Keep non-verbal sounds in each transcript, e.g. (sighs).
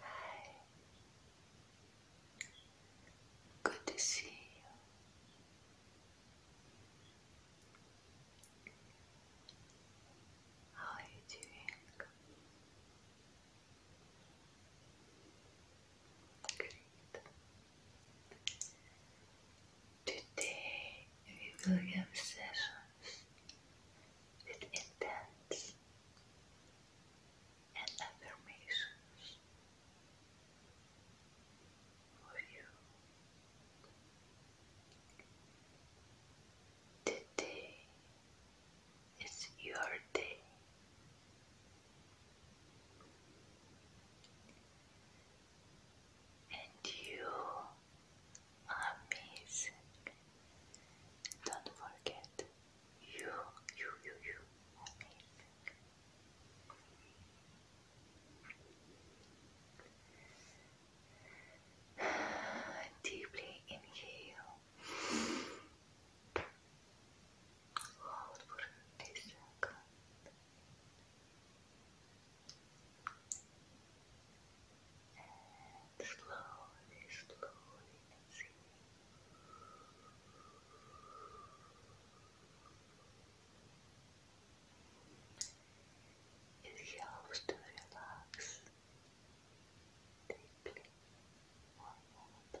Hi. Good to see you. How are you Great. Today we will have sessions with intents and affirmations for you. Today is your day. And you amazing. Don't forget, you, you, you, you, (sighs) Deeply inhale. Hold for a second. And slowly, slowly, let It helps to relax deeply one more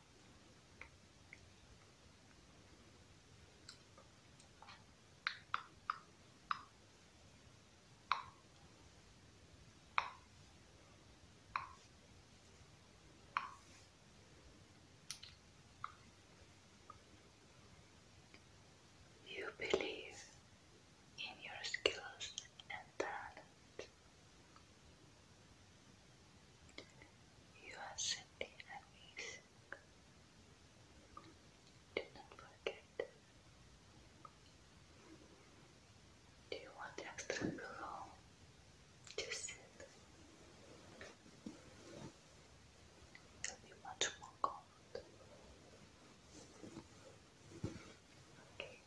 You believe in your skills and talent. You are simply amazing. Do not forget. Do you want extra pillow? Just sit. you much more comfortable. Okay.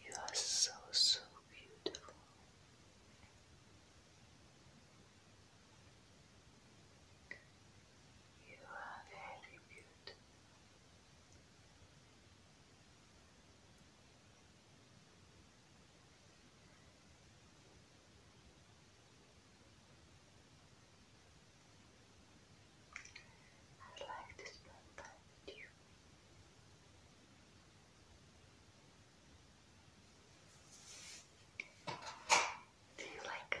You are so, so beautiful. You are very beautiful. I like to spend time you. Do you like it?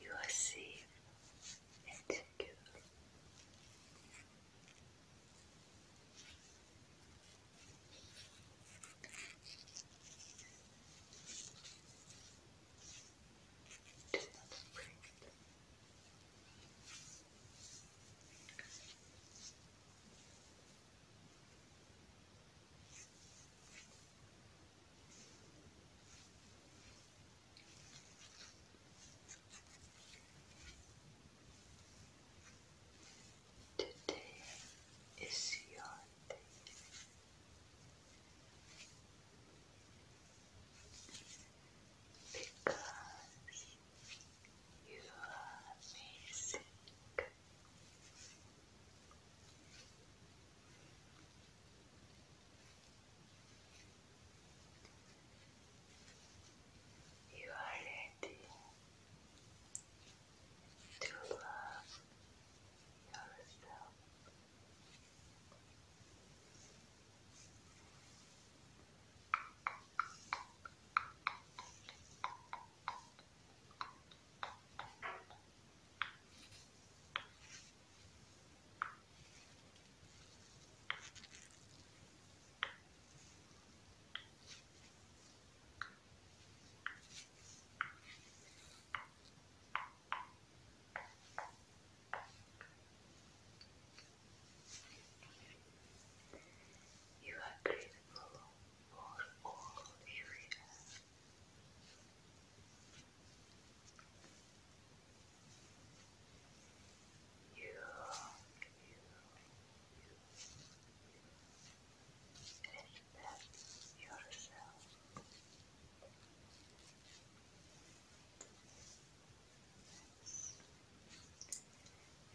You are safe and secure. Do Today is your day. Because you are amazing. You are ready to love yourself. You you are breathable for all areas. You, you, respect yourself.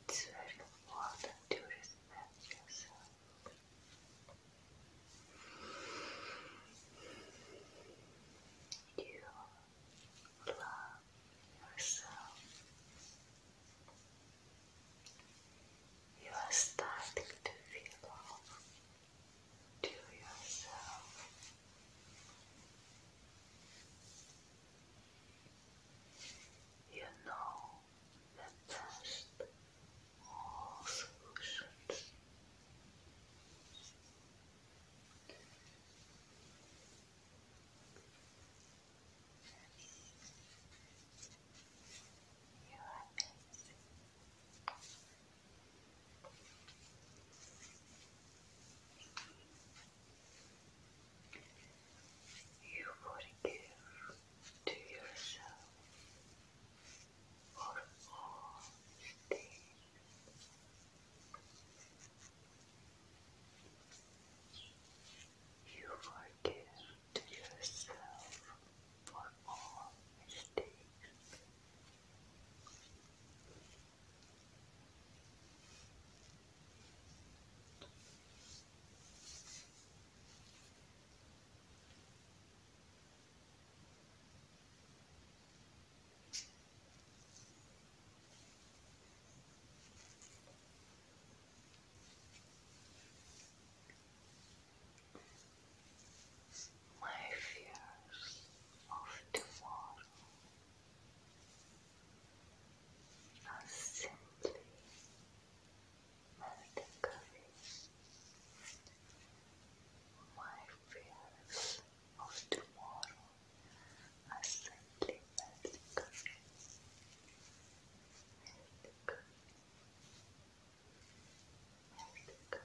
It's very important to respect yourself. You love yourself. You are starting to feel love to yourself. You know the best solutions you are You to yourself for all things. You forgive yourself for all mistakes. My fears of tomorrow are simply melting away. My fear tomorrow are simply magical. Magical. Magical.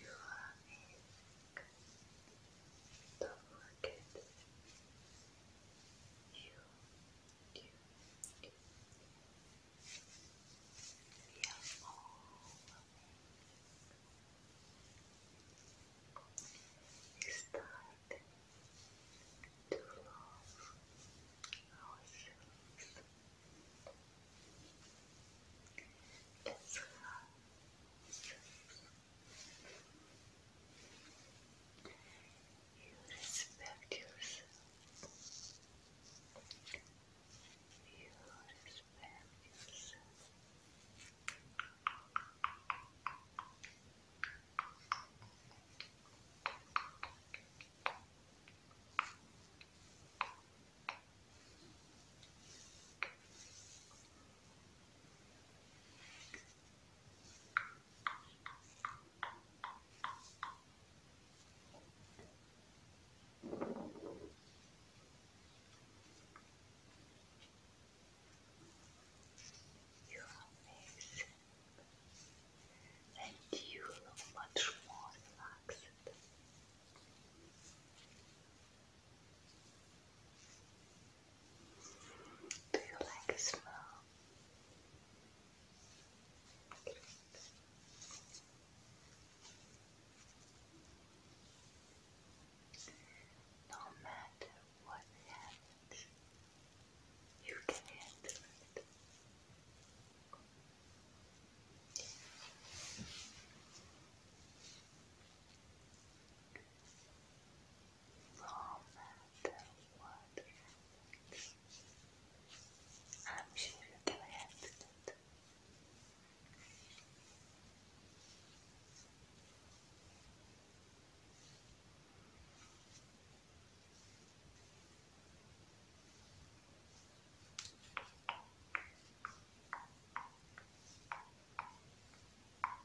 You are don't forget you, you, you. We are to love ourselves. Let's love you respect yourself. You respect yourself. You your face, and you look much more relaxed. Do you like a smell? No matter what happens, you can handle it no matter what happens. I'm sure you can handle it. Thank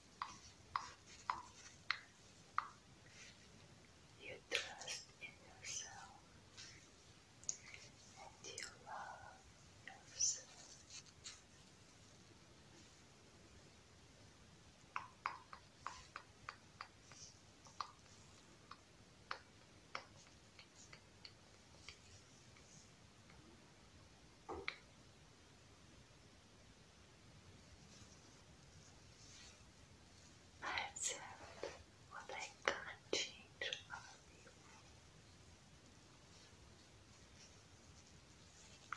You trust in yourself and you love yourself. I have what I can't change for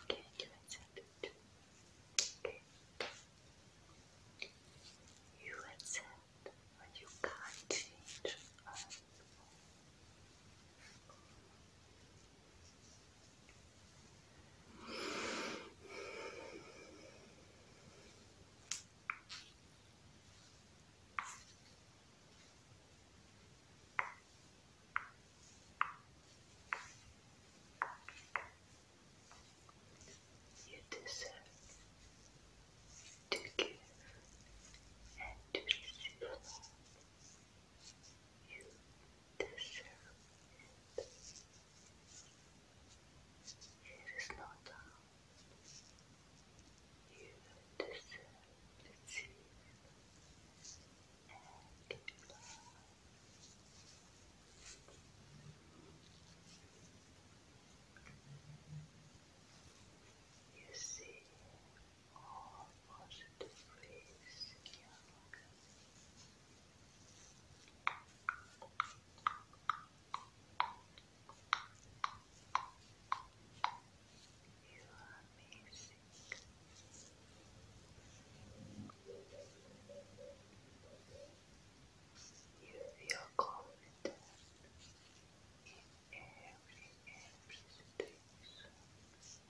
Can you accept it? You accept what you can't change you deserve to give and to receive you deserve it. It is not down. You deserve to see and love. You see, all You are amazing. You feel confident in every, every situation.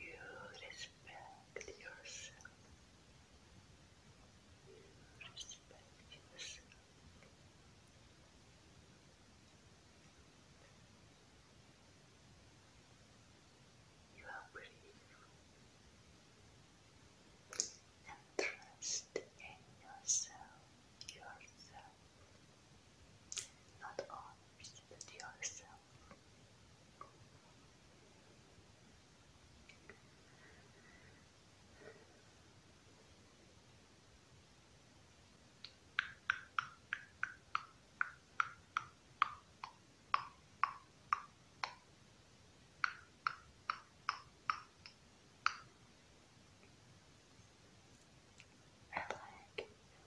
You respect yourself. You respect yourself. You are brave and trust in yourself, yourself, not others, but yourself. I like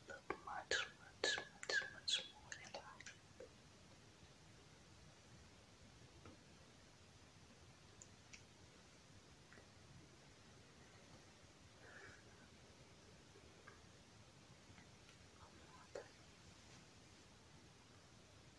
look much, much, much, much more relaxed.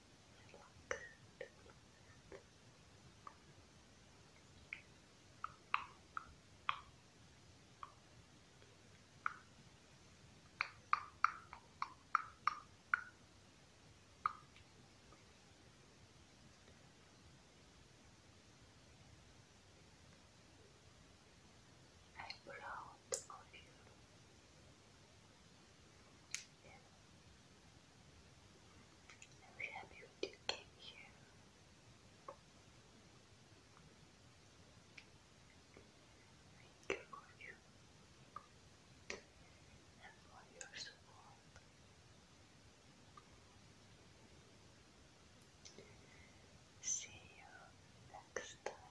You look good. I'm proud of you. I'm very happy you came here. Thank you for you and for your support. See you next time.